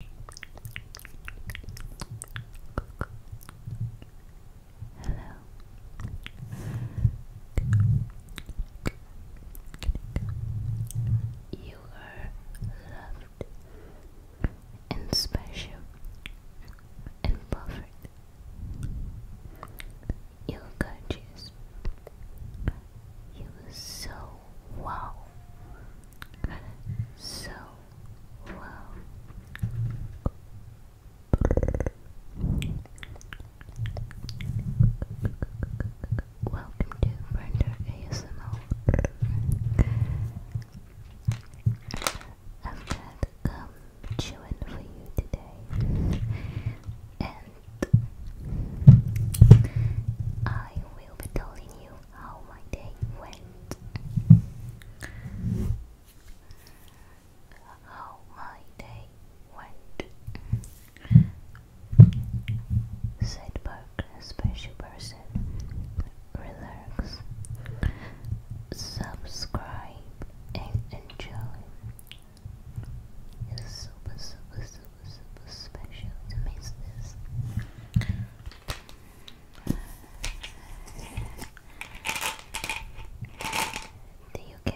You are loved and special and perfect. you gorgeous. You are so wow so low. Welcome to Render ASMR. I've got gum chewing for you today, and I will be telling you how my day went. How my day went, said Burke, special person. Relax, subscribe, and enjoy. It's super, super, super, super special to do you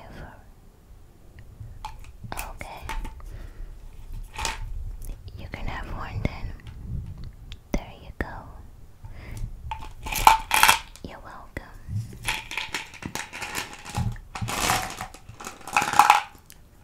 Okay. You can have one then. There you go. You're welcome.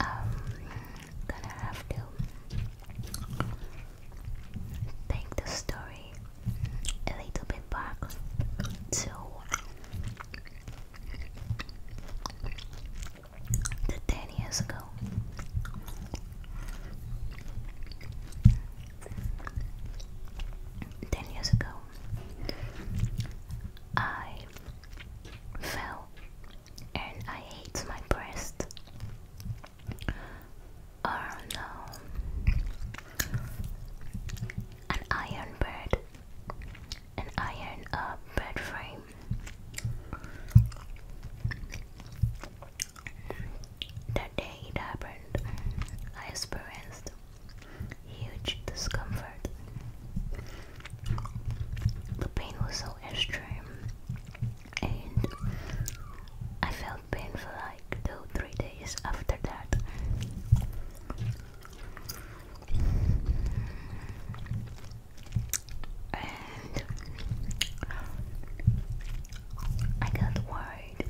Um, gonna have to take the story a little bit back to ten years ago. Ten years ago, I fell and I hate my breast. Oh no. An iron bird. An iron uh, frame. That day it happened. I experienced Huge discomfort. The pain was so extreme, and I felt pain like two, three days after that. And I got worried.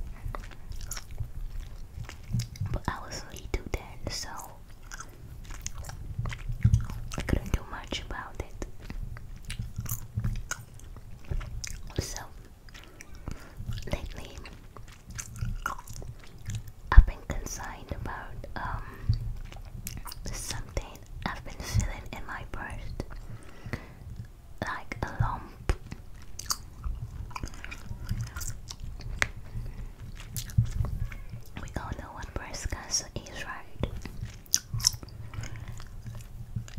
But I was way too then, so I couldn't do much about it. So lately I've been concerned about um, something I've been feeling in my breast like a lump we all know what breast cancer is, right?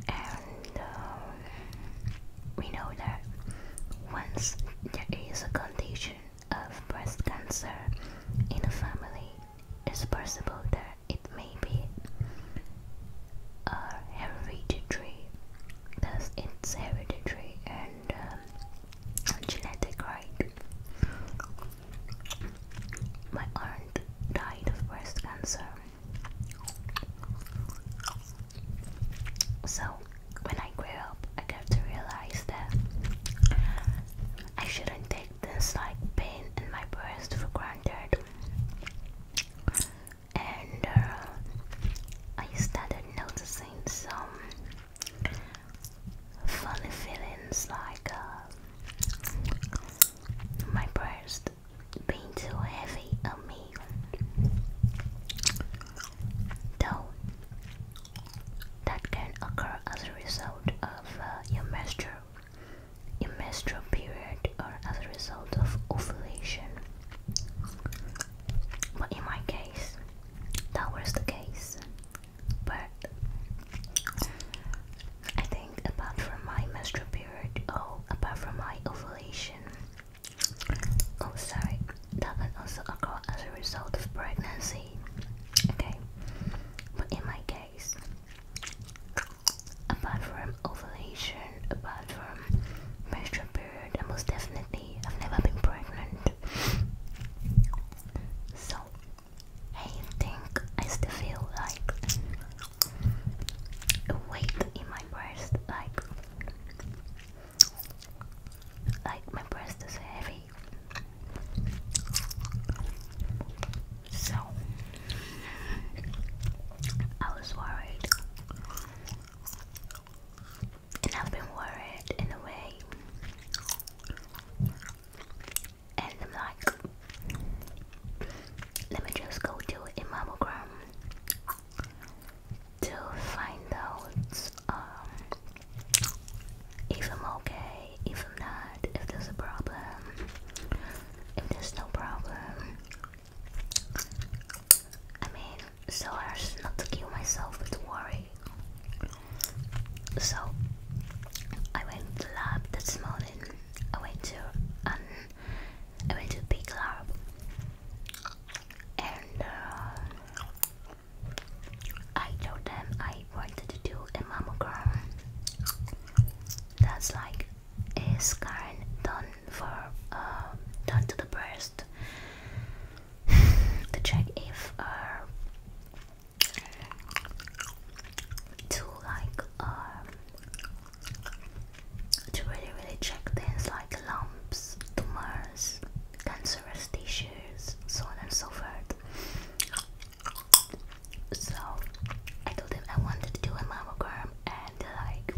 And um, we know that once there is a condition of breast cancer in a family, it's possible that it may be a hereditary, because it's hereditary and genetic um, right. My aunt died of breast cancer. So, when I grew up, I got to realize that I shouldn't take this like pain in my breast for granted and uh, I started noticing some funny feelings like uh, my breast being too heavy on me. Though that can occur as a result of uh, your menstrual, menstrual period or as a result of ovulation. But in my case, that was the case. But I think, apart from my menstrual period, oh, apart from my ovulation, oh, sorry, that can also occur as a result of pregnancy. Okay, but in my case, apart from ovulation, apart from menstrual period weird, and most definitely, I've never been pregnant. So, I think I still feel like a weight in my breast, like like my breast is heavy. So I was worried and I've been worried in a way. And I'm like, let me just go do a mammogram to find out um, if I'm okay, if I'm not, if there's a problem, if there's no problem. I mean, so as not to kill myself with worry. So, I went to lab this morning. I went to an I went to a big lab, and uh, I told them I wanted to do a mammogram. That's like a scan done for um, done to the breast to check if uh, to like um, to really really check things like lumps, tumors, cancerous tissues, so on and so forth. So I told him I wanted to do a mammogram and like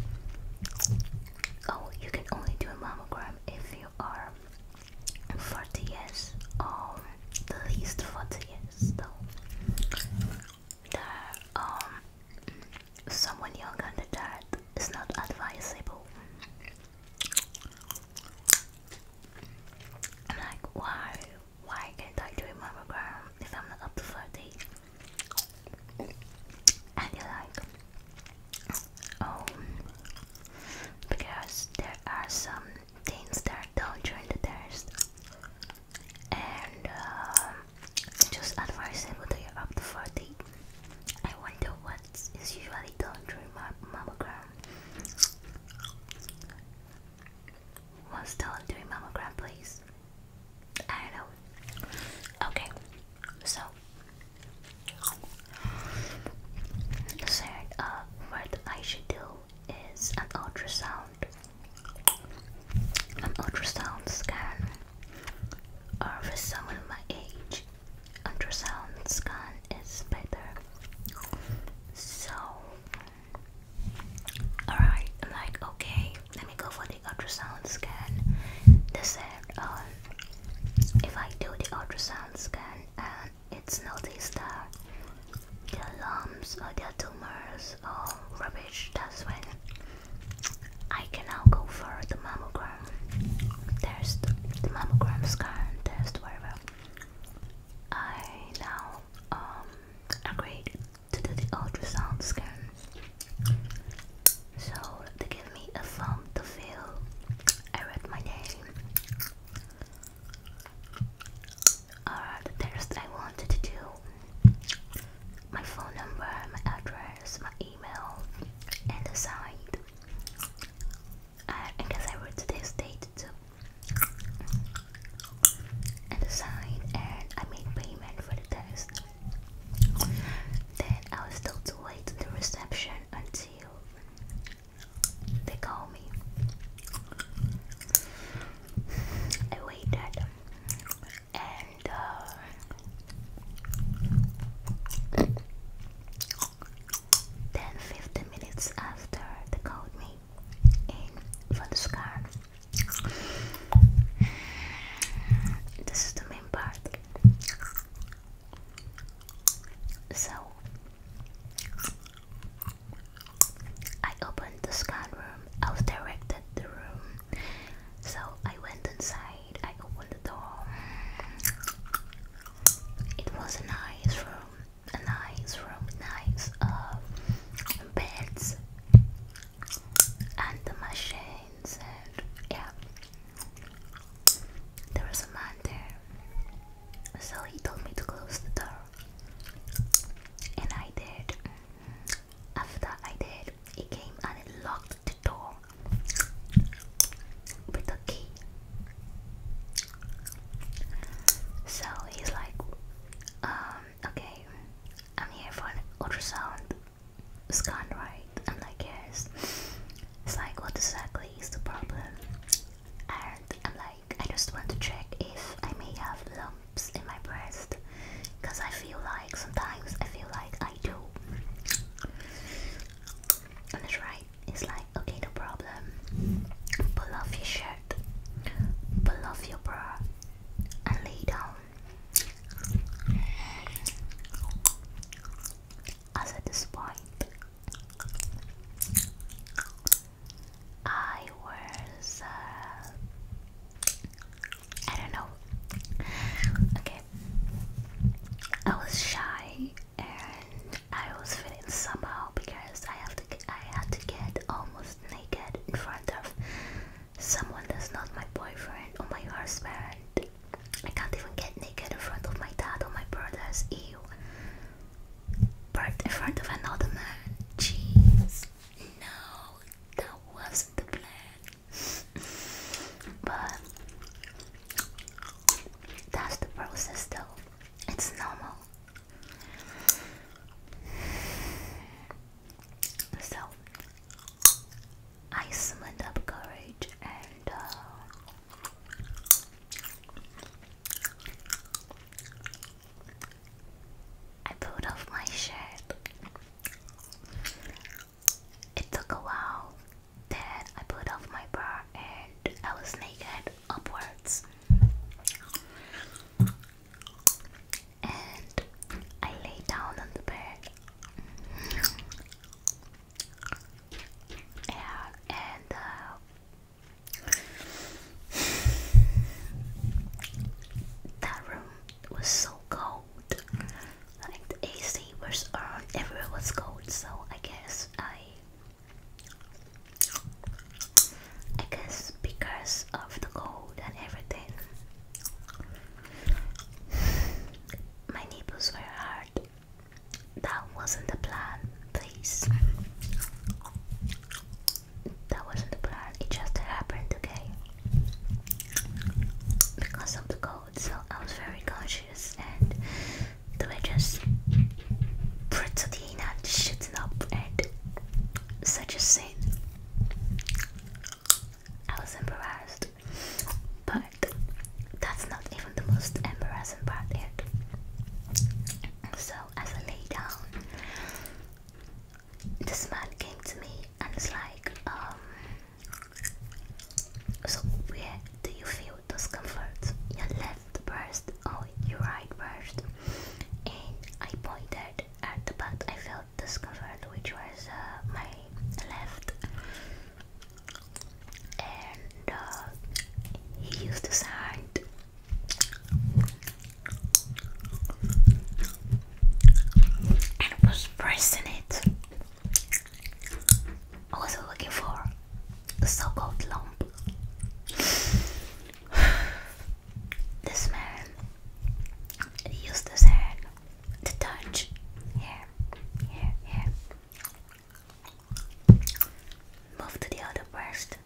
Oh, you can only do a mammogram if you are 40 years or at least 40 years though. There, um, someone younger than that is not advisable. I'm like, why? Why can't I do a mammogram if I'm not up to 40? I like oh because there are some things that are done during the test and uh, just advisable that you up to 40 I wonder what is usually done during my mammogram What's done during mammogram please I don't know. Okay, so so uh, what I should do is an ultrasound, an ultrasound scan, or for someone my age, ultrasound scan is better. So. Alright, like, okay, go for the ultrasound scan. They said, um, if I do the ultrasound scan and it's noticed that their lumps or their tumors or rubbish, that's when I can now go for the mammogram test, the mammogram scan test, whatever. I now um, agreed to do the ultrasound scan. So they give me a form to feel. I read my name. Or the test I wanted to do. My phone number, my address, my email, and the site. I, I guess I wrote today's date too. And the sign, and I made payment for the test. Then I was told to wait to the reception until they called me. I waited and uh, then 15 minutes after they called me in for the scan this is the main part. So I opened the scan room. I was directed the room. So I went inside. I opened the door. It was a nice room. A nice room. Nice uh, beds and the machine and yeah, there was a man there. So he told me to close the door. And I did. After I did, he came and it locked the door with a key. So he's like, um, okay, I'm here for ultrasound scan, right? I'm It's like, what exactly is the problem? And I'm like, I just want to check if I may have lumps in my breast. Because I feel like, sometimes I feel like I do. And it's right. It's like, okay, no problem. Pull off your shirt, pull off your bra, and lay down. As at this I was uh, I don't know. Okay, I was shy and I was feeling somehow because I have to I had to get almost naked in front of Someone that's not my boyfriend or my husband. I can't even get naked in front of my dad or my brothers. Ew. But in front of another man. Jeez. No, that wasn't the plan. But that's the process though. It's normal. So I summoned up courage and uh, I pulled off my shirt. It took a while. Then I pulled off my bra and I was naked upwards and I lay down on the bed. Mm-hmm. and uh, that room was so cold. Like the AC was on, everywhere was cold. So I guess I I guess because of the cold and everything. My nipples were hard. That wasn't the plan, please. That wasn't the plan, it just happened, okay? Because of the cold, so I was very conscious and they were just pretty and shooting up and such I was embarrassed. But that's not even the most embarrassing part yet. So, as I lay down, this man came to me and was like, um, So, where do you feel discomfort? Your left breast or your right breast? And I pointed at the butt I felt discomfort, which was uh, my left. And uh, he used the sound. And was pressing it. I was looking for so-called lump. this man used his hand to touch here, here, here. Move to the other breast.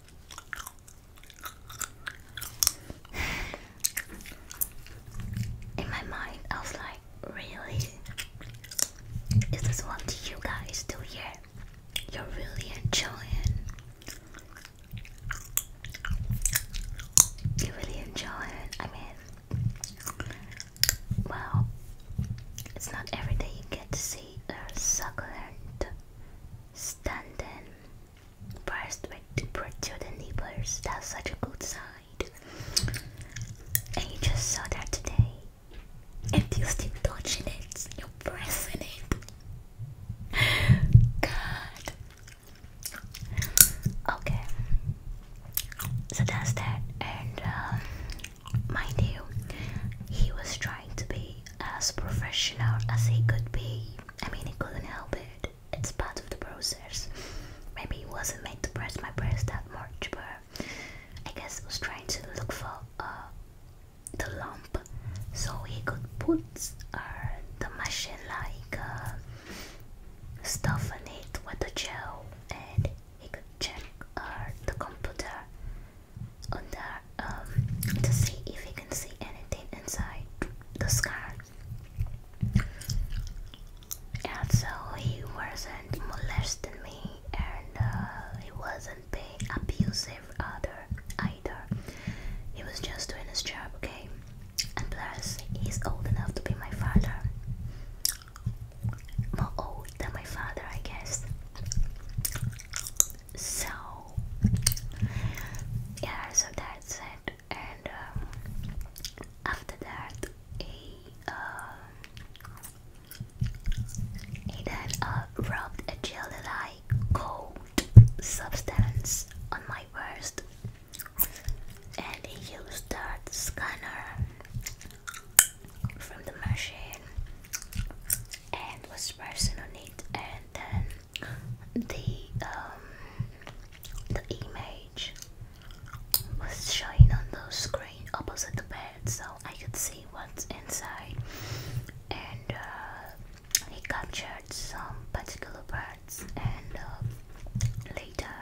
In my mind, I was like, really? Is this what you guys do here? You're really enjoying you really enjoy it. I mean, well, it's not every day you get to see a succulent standing breast with protruding nipples. That's such a good sight. And you just saw that today. And you still touching it, you're pressing it. God. Okay. So that's that. And uh, mind you, he was trying to be as professional as he could be. I mean, he couldn't help it. It's part of the process. Maybe he wasn't made to press my breast that much, but I guess he was trying to look for uh, the lump so he could put uh, the machine like uh, stuff in it with the gel and he could check uh, the computer on there um, to see if he can see anything inside the scar. and so he wasn't molesting me and uh, he was not was abusive other either. He was just doing his job, okay? And plus, he's old enough to be my father. More old than my father, I guess. So, yeah, so that's it. And um, after that, he, um, he then uh, robbed a jewelry cold substance on my wrist and he used that scanner from the machine and was pressing on it and then the um the image was showing on the screen opposite the bed so I could see what's inside and uh, he captured some particular birds and um, later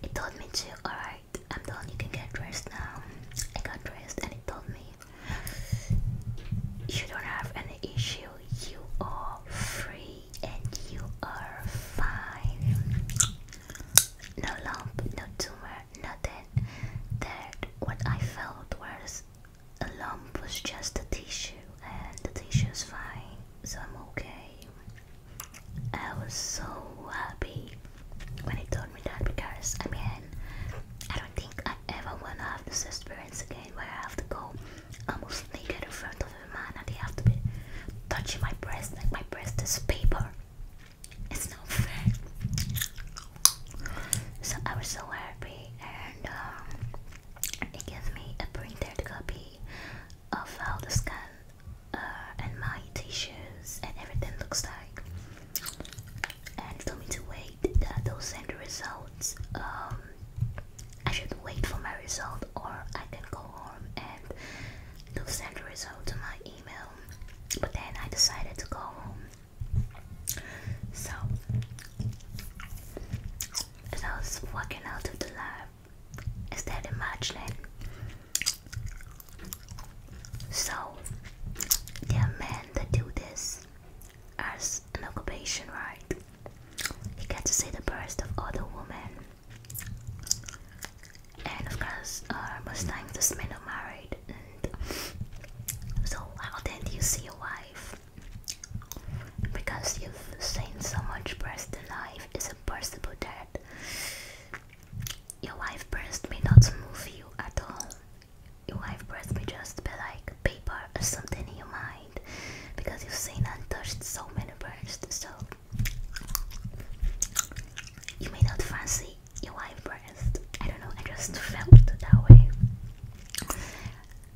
he told me to alright I'm done you can get dressed now I got dressed and he told me you don't have any issue you are free and you are fine no lump no tumor nothing. That what I felt was a lump was just a tissue, and the tissue is fine, so I'm okay. I was so happy when he told me that because I mean, I don't think I ever wanna have this experience again where I have to go almost naked in front of a man and they have to be touching my breast like my breast is paper. It's not fair. So I was so happy, and um, they gave me a printed copy of how the scan uh, and my tissues and everything looks like. And it told me to wait they'll send the results. Um, I should wait for my result, or I can go home and they'll send the result to my email. But then I decided to go home so as I was walking out of the lab, instead imagining so there are that do this as an occupation, right? You get to see the breast of other women uh, and of course most times these men are married and so how then do you see your wife because you've seen so much breast in life it's impossible that your wife breast may not move you at all your wife breast may just be like paper or something in your mind because you've seen and touched so many breasts so you may not fancy UI breast. I don't know, I just felt that way.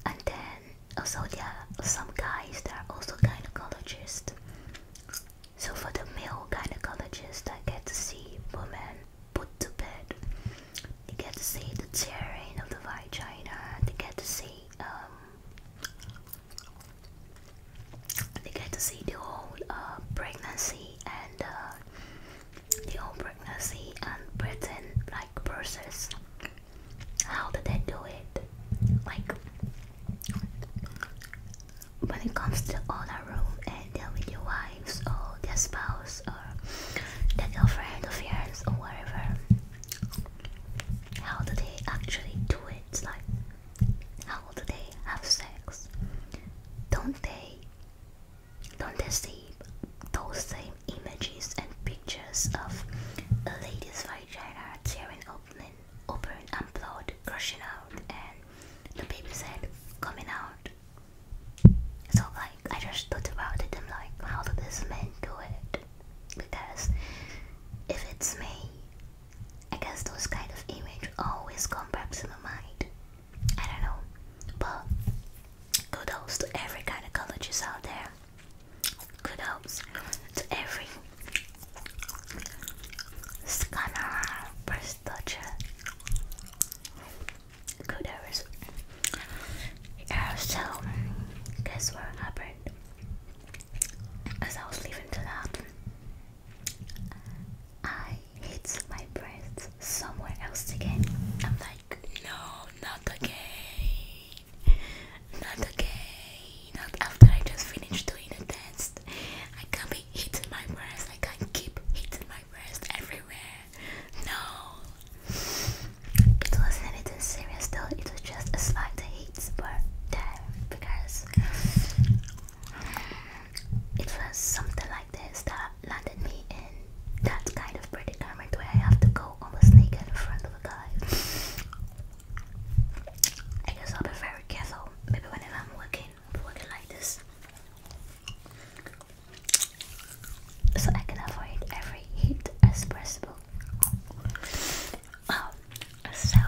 And then also there are some guys that are also gynecologists. So for the male gynecologists, I get to see women put to bed. They get to see the tearing of the vagina, they get to see um they get to see the whole uh, pregnancy and uh, the whole pregnancy and Britain like process. How did they do it? Like when it comes to the other room and they're with your wives or their spouse or their girlfriend of yours or whatever. How did they actually do it? Like how do they have sex? Don't they don't they see those same images and pictures of a lady's vagina tearing open, open and blood gushing out and the baby's head coming out? So like I just thought about it I'm like how do these men do it? Because if it's me I guess those kind of image always come back to my mind. I don't know. But kudos to every gynecologist out there. Kudos to every scanner, breast toucher. Kudos. so guess what happened? As I was leaving to that I hit my breast somewhere else again. I'm like, no, not again. Not again. Not after I just finished doing a test. I can't be hitting my breast. I can't keep hitting my breast everywhere. No. It wasn't anything serious though. It was just a slight hit, but because it was something like this that landed me in that kind of predicament where I have to go almost naked in front of a guy. I guess I'll be very careful, maybe whenever I'm working, working like this. So I can avoid every hit as possible. Um, so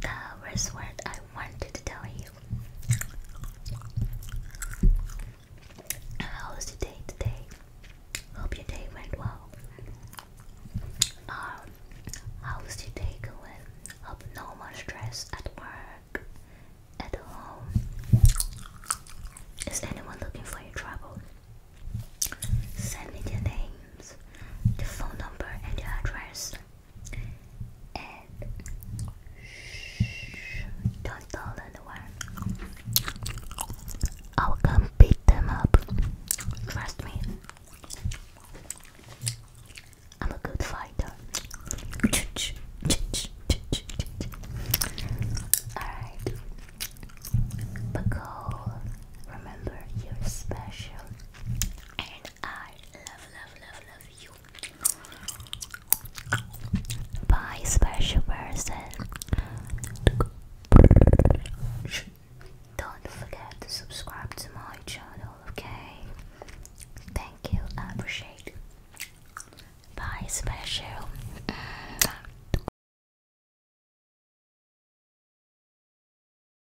the worst word I wanted to tell you. How was your day today? Hope your day went well. Um, how was your day going? Hope no more stress at work, at home. Is anyone looking for your trouble? Send me their names, their phone number, and their address and shh, don't tell anyone. I'll come beat them up. Trust me. I'm a good fighter. Alright. But remember you're special. I love, love, love, love you. Bye, special person. Don't forget to subscribe to my channel, okay? Thank you, appreciate Bye, special.